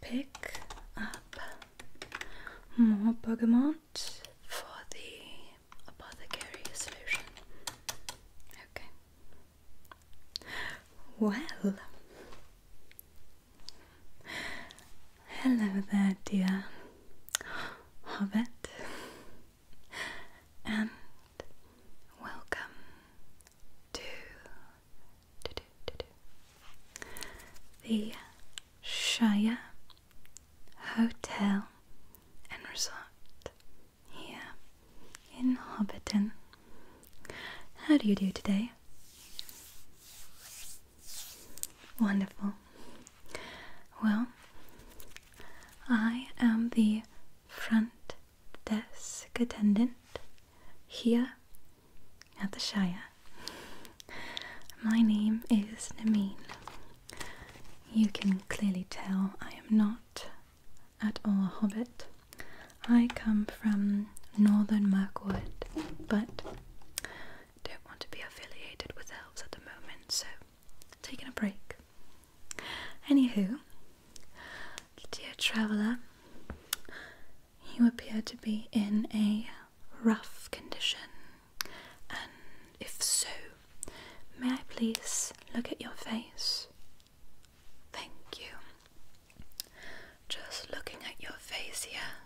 pick up more bogamont for the apothecary solution. Okay. Well, hello there, dear Hobbit, and welcome to the Shire Hotel and Resort here in Hobbiton. How do you do today? Wonderful. Well, I am the front desk attendant here at the Shire. My name is Nameen. You can clearly tell I am not at all a hobbit. I come from northern Mirkwood, but don't want to be affiliated with elves at the moment, so taking a break. Anywho, dear traveller, you appear to be in a rough condition, and if so, may I please look at your face? Thank you. Just looking at your face here,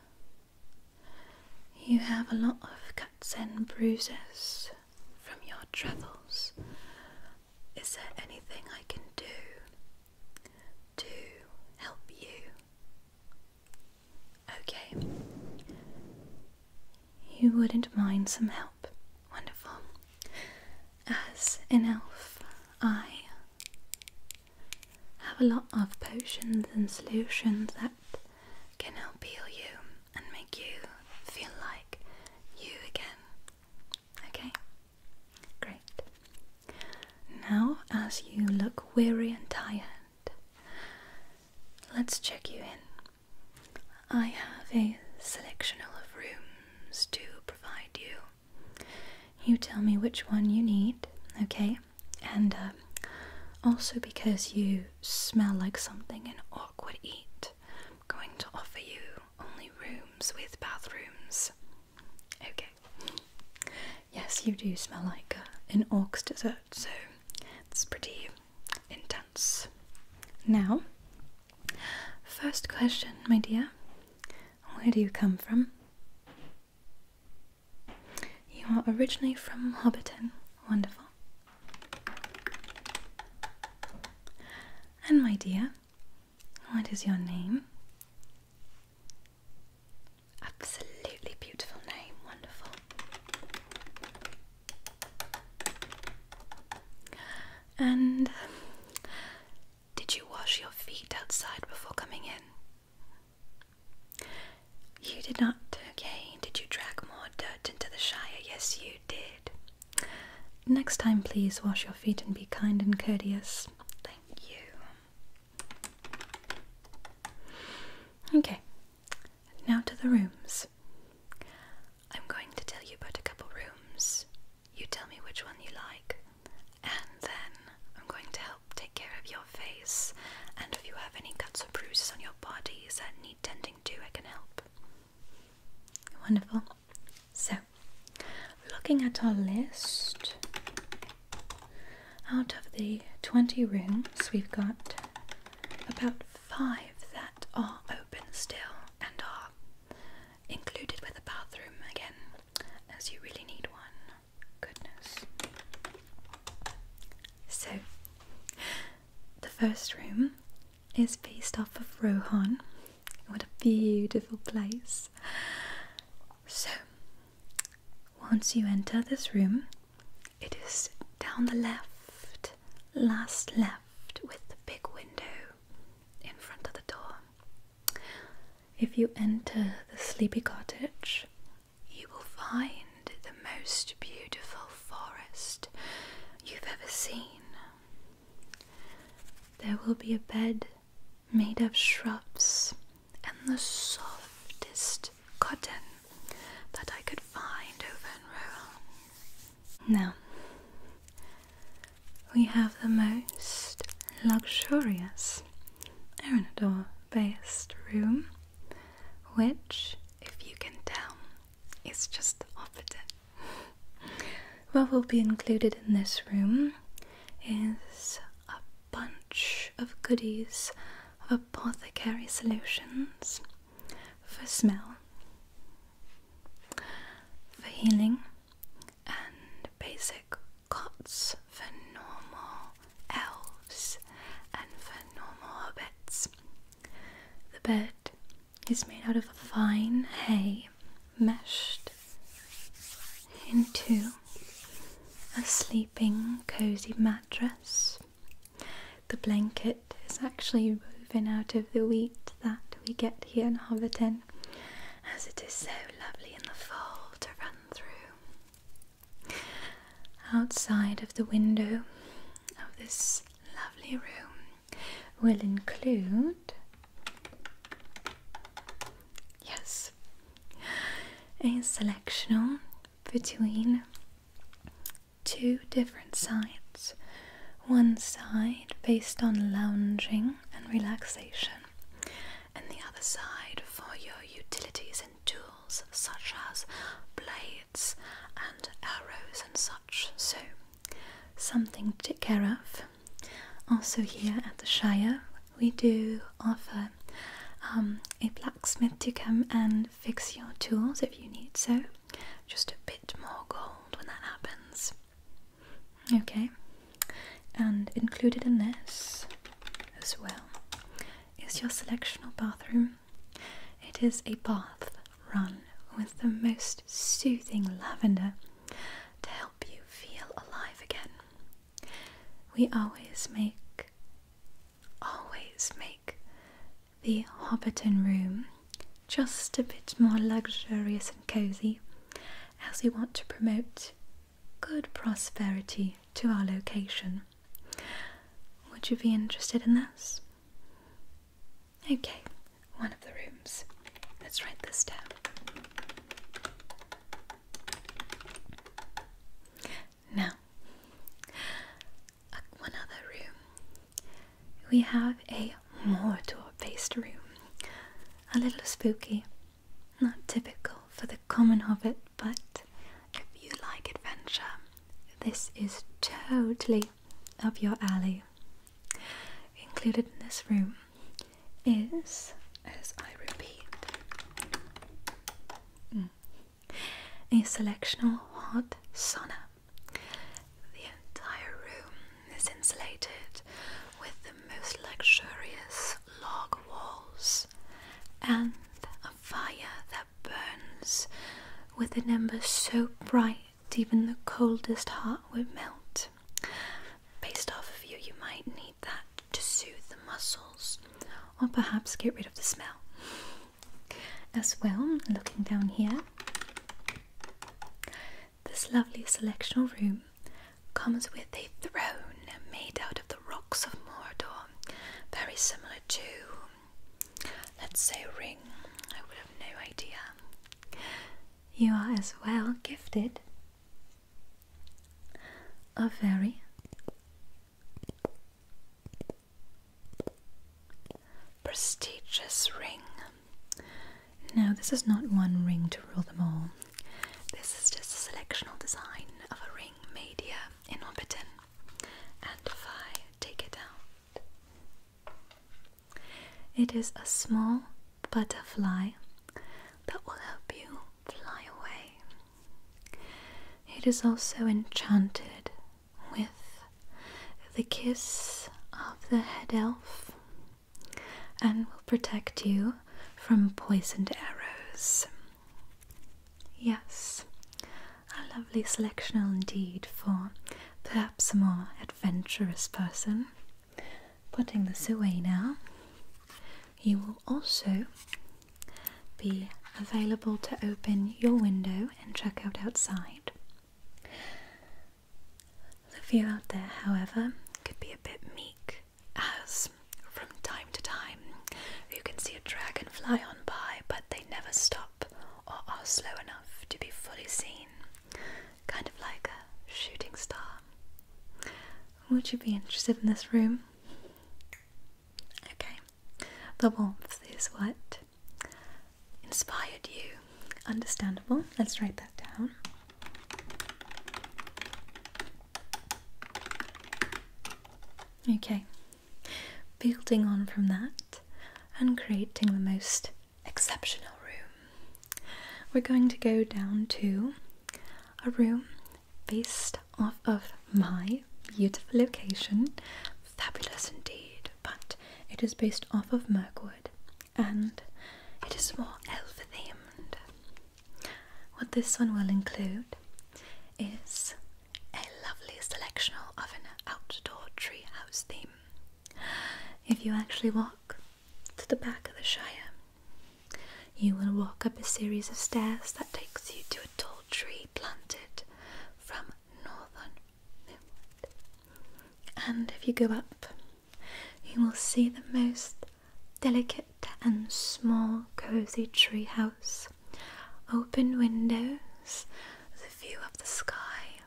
you have a lot of cuts and bruises from your travels. Is there anything I can do to help you. Okay. You wouldn't mind some help. Wonderful. As an elf, I have a lot of potions and solutions that can help heal you and make you feel like you again. Okay? Great. Now, as you look weary and tired, let's check you in. I have a selection of rooms to provide you. You tell me which one you need, okay? And um, also because you smell like something and awkward eat, I'm going to offer you only rooms with bathrooms. Okay. Yes, you do smell like uh, an orc's dessert, so it's pretty intense. Now, first question, my dear. Where do you come from? You are originally from Hobbiton. Wonderful. And my dear, what is your name? Absolutely beautiful name, wonderful. And did you wash your feet outside before coming in? You did not, okay. Did you drag more dirt into the Shire? Yes, you did. Next time, please wash your feet and be kind and courteous you. Okay, now to the rooms. I'm going to tell you about a couple rooms. You tell me which one you like, and then I'm going to help take care of your face. And if you have any cuts or bruises on your bodies that need tending to, I can help. Wonderful. So, looking at our list, out of the 20 rooms, we've got about five that are open still and are included with a bathroom again, as you really need one. Goodness. So, the first room is based off of Rohan what a beautiful place. So, once you enter this room, it is down the left, last left, with the big window in front of the door. If you enter the sleepy cottage, you will find the most beautiful forest you've ever seen. There will be a bed made of shrubs and the softest cotton that I could find over in Rohan. Now, we have the most luxurious Aranador based room, which, if you can tell, is just the opposite what will be included in this room is a bunch of goodies of apothecary solutions for smell, for healing, and basic cots for normal elves and for normal hobbits. The bed is made out of fine hay meshed into a sleeping cozy mattress. The blanket is actually woven out of the wheat that we get here in Hobbiton, as it is so lovely in the fall to run through. Outside of the window of this lovely room will include yes a selection between two different sides one side based on lounging and relaxation and the other side for your utilities and tools such as blades and arrows and such so something to take care of. Also, here at the Shire, we do offer um, a blacksmith to come and fix your tools if you need so. Just a bit more gold when that happens. Okay, and included in this as well is your selectional bathroom. It is a bath run with the most soothing lavender to help you feel alive again. We always make, always make the Hobbiton room just a bit more luxurious and cozy as we want to promote good prosperity to our location. Would you be interested in this? Okay one of the rooms. Let's write this down. Now, uh, one other room. We have a Mordor-based room. A little spooky, not typical for the common hobbit, but if you like adventure, this is totally up your alley. Included in this room is, as I repeat, mm, a selection of hot sauna. The entire room is insulated with the most luxurious log walls and a fire that burns with an ember so bright even the coldest heart would melt. Based off of you, you might need that to soothe the muscles or perhaps get rid of the smell. As well, looking down here, this lovely selectional room comes with a throne made out of the rocks of Mordor, very similar to, let's say, a ring. I would have no idea you are as well gifted a very prestigious ring. Now, this is not one ring to rule them all. This is just a selectional design of a ring made here in Orbiton. And if I take it out, it is a small butterfly that will help you fly away. It is also enchanted with the kiss of the head elf and will protect you from poisoned arrows. Yes, a lovely selection indeed for perhaps a more adventurous person. Putting this away now, you will also be available to open your window and check out outside. The view out there, however, could be a bit meek, as from time to time you can see a dragonfly on by, but they never stop or are slow enough to be fully seen kind of like a shooting star. Would you be interested in this room? Okay, the warmth is what inspired you. Understandable. Let's write that down. Okay, building on from that and creating the most exceptional room. We're going to go down to a room based off of my beautiful location. Fabulous indeed, but it is based off of Merkwood, and it is more elf themed. What this one will include is a lovely selection of an outdoor treehouse theme. If you actually walk to the back of the Shire, you will walk up a series of stairs that takes you to a tall tree planted from northern And if you go up, you will see the most delicate and small, cozy tree house, open windows, the view of the sky,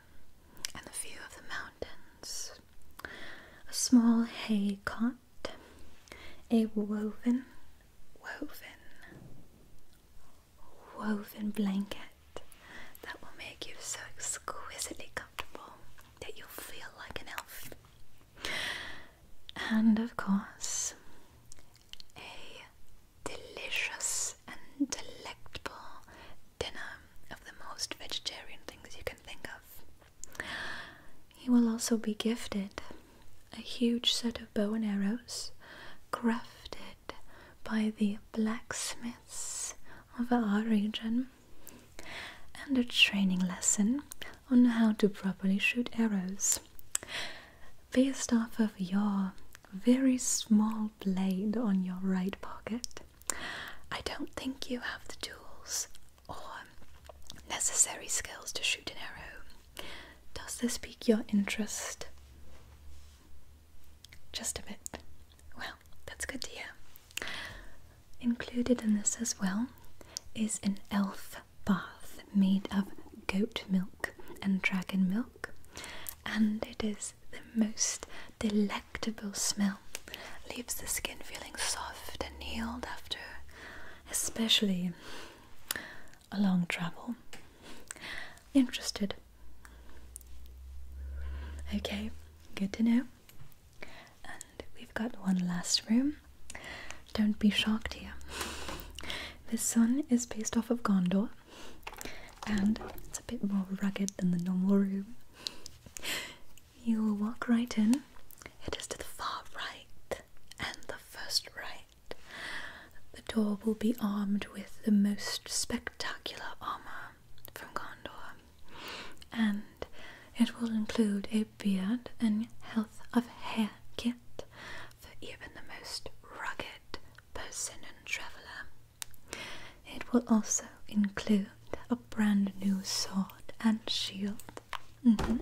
and the view of the mountains, a small hay cot, a woven, woven, woven blanket that will make you so exquisitely comfortable that you'll feel like an elf. And of course, a delicious and delectable dinner of the most vegetarian things you can think of. He will also be gifted a huge set of bow and arrows crafted by the blacksmiths of our region and a training lesson on how to properly shoot arrows based off of your very small blade on your right pocket. I don't think you have the tools or necessary skills to shoot an arrow. Does this pique your interest? Just a bit. Well, that's good to hear. Included in this as well is an elf bath made of goat milk and dragon milk and it is the most delectable smell. Leaves the skin feeling soft and healed after, especially a long travel. Interested? Okay, good to know. And we've got one last room. Don't be shocked here. This sun is based off of Gondor, and it's a bit more rugged than the normal room. You will walk right in. It is to the far right and the first right. The door will be armed with the most spectacular armour from Gondor, and it will include a beard and health of hair kit for even the most rugged person and traveller. It will also include a brand new sword and shield. Mm-hmm.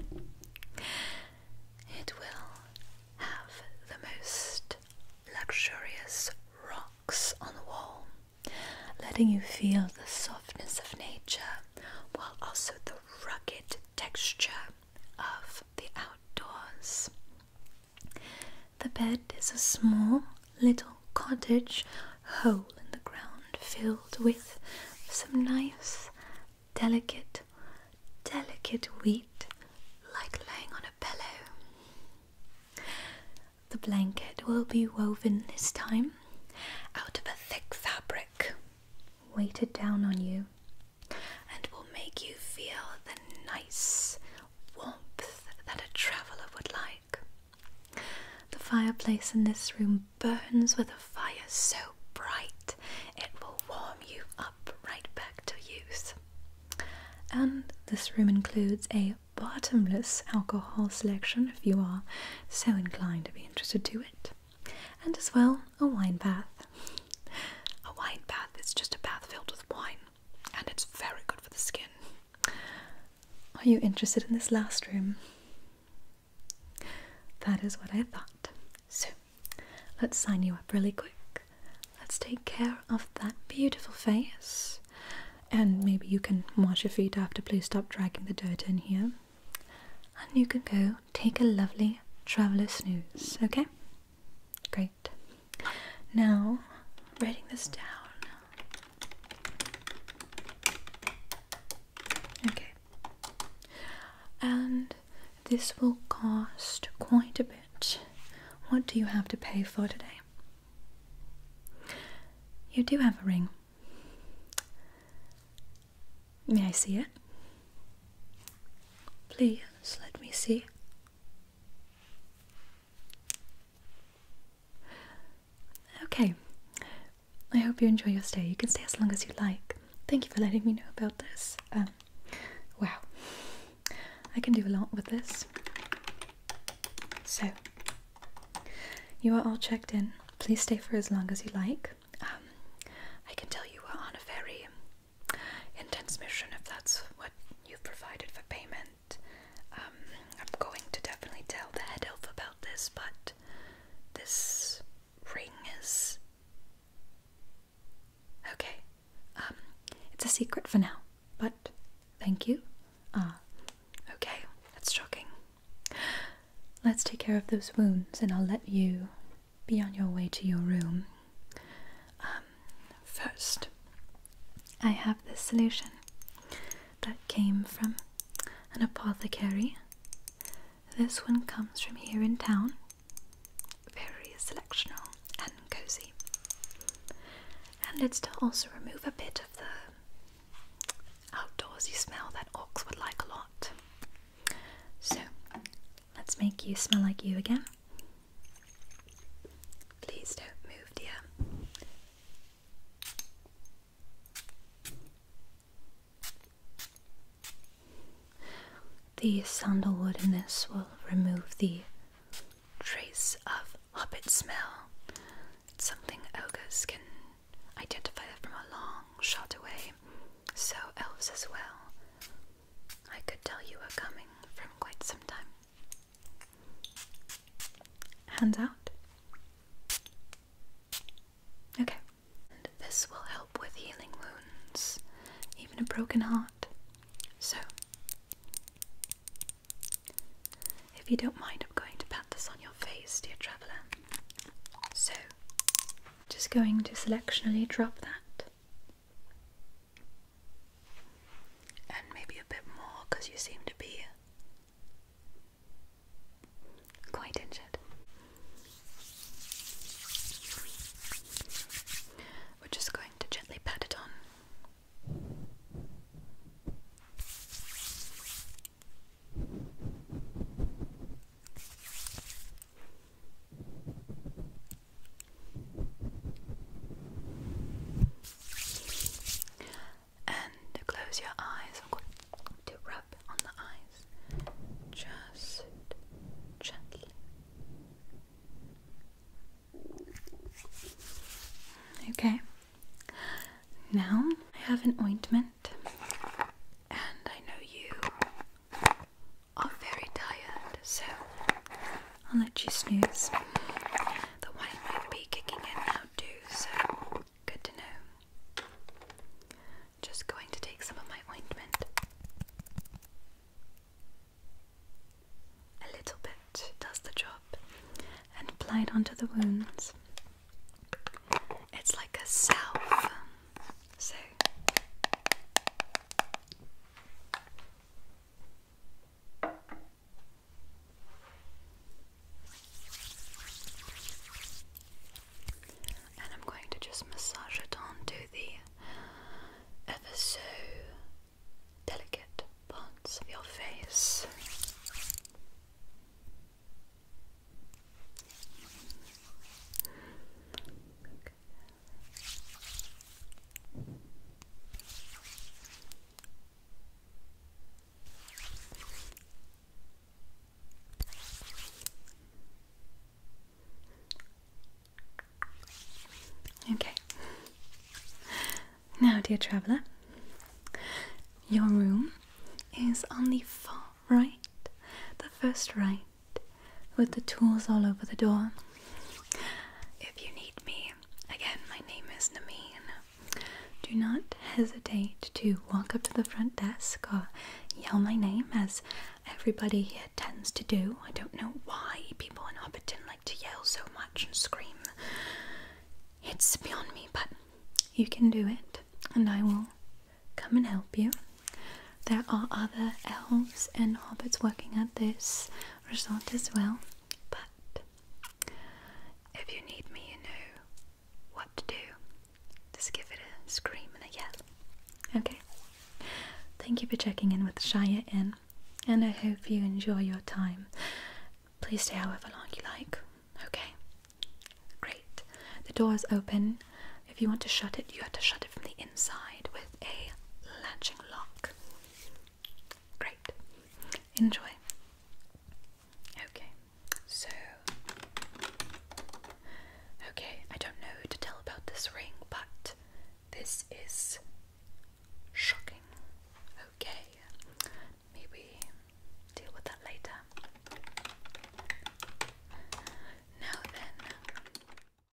It will have the most luxurious rocks on the wall, letting you feel the softness of nature while also the rugged texture of the outdoors. The bed is a small little cottage hole in the ground filled with some nice, delicate, delicate wheat like laying on a pillow. The blanket will be woven this time out of a thick fabric weighted down on you and will make you feel the nice warmth that a traveller would like. The fireplace in this room burns with a fire so bright it will warm you up right back to use. And this room includes a bottomless alcohol selection if you are so inclined to be interested to it. And as well, a wine bath. A wine bath is just a bath filled with wine and it's very good for the skin. Are you interested in this last room? That is what I thought. So let's sign you up really quick. Let's take care of that beautiful face. And maybe you can wash your feet after, please stop dragging the dirt in here. And you can go take a lovely traveler snooze, okay? Great. Now, writing this down. Okay. And this will cost quite a bit. What do you have to pay for today? You do have a ring. May I see it? Please let me see. Okay, I hope you enjoy your stay. You can stay as long as you like. Thank you for letting me know about this. Um, wow, I can do a lot with this. So, you are all checked in. Please stay for as long as you like. Um, I can tell you are on a very intense mission if that's what you've provided for payment. Um, I'm going to definitely tell the head elf about this, but this ring is okay. Um, it's a secret for now, but thank you. uh, okay, that's shocking. Let's take care of those wounds, and I'll let you be on your way to your room. Um, First, I have this solution that came from an apothecary. This one comes from here in town. Very selectional and cozy. And it's to also remove a bit of the outdoorsy smell that oaks would like a lot. So, let's make you smell like you again. Please don't move, dear. The sandalwood in this will remove the trace of hobbit smell. It's something ogres can identify from a long shot away, so elves as well. I could tell you were coming from quite some time. Hands out. Okay. this will help with healing wounds, even a broken heart. So, if you don't mind, I'm going to pat this on your face, dear traveller. So, just going to selectionally drop that and maybe a bit more because you seem to be quite injured. We're just going to gently pat it on. And close your eyes. to rub on the eyes just gently. Okay, now I have an ointment, and I know you are very tired, so I'll let you snooze. The wine might be kicking in now too, so good to know. Just going to take some of my ointment. A little bit does the job and apply it onto the wounds. It's like a salve. So and I'm going to just massage it onto the ever so delicate parts of your face. Okay. Now, dear traveller, your room is on the far right, the first right with the tools all over the door. If you need me, again, my name is Nameen. Do not hesitate to walk up to the front desk or yell my name, as everybody here tends to do. I don't know why people in Hobbiton like to yell so much and scream. It's beyond me, but you can do it, and I will come and help you. There are other elves and hobbits working at this resort as well. But if you need me, you know what to do. Just give it a scream and a yell. Okay? Thank you for checking in with Shire Inn, and I hope you enjoy your time. Please stay however long you like. Okay? Great. The door is open. If you want to shut it, you have to shut it from the inside with a latching lock. Great. Enjoy. Okay, so. Okay, I don't know to tell about this ring, but this is shocking. Okay, maybe deal with that later. Now then.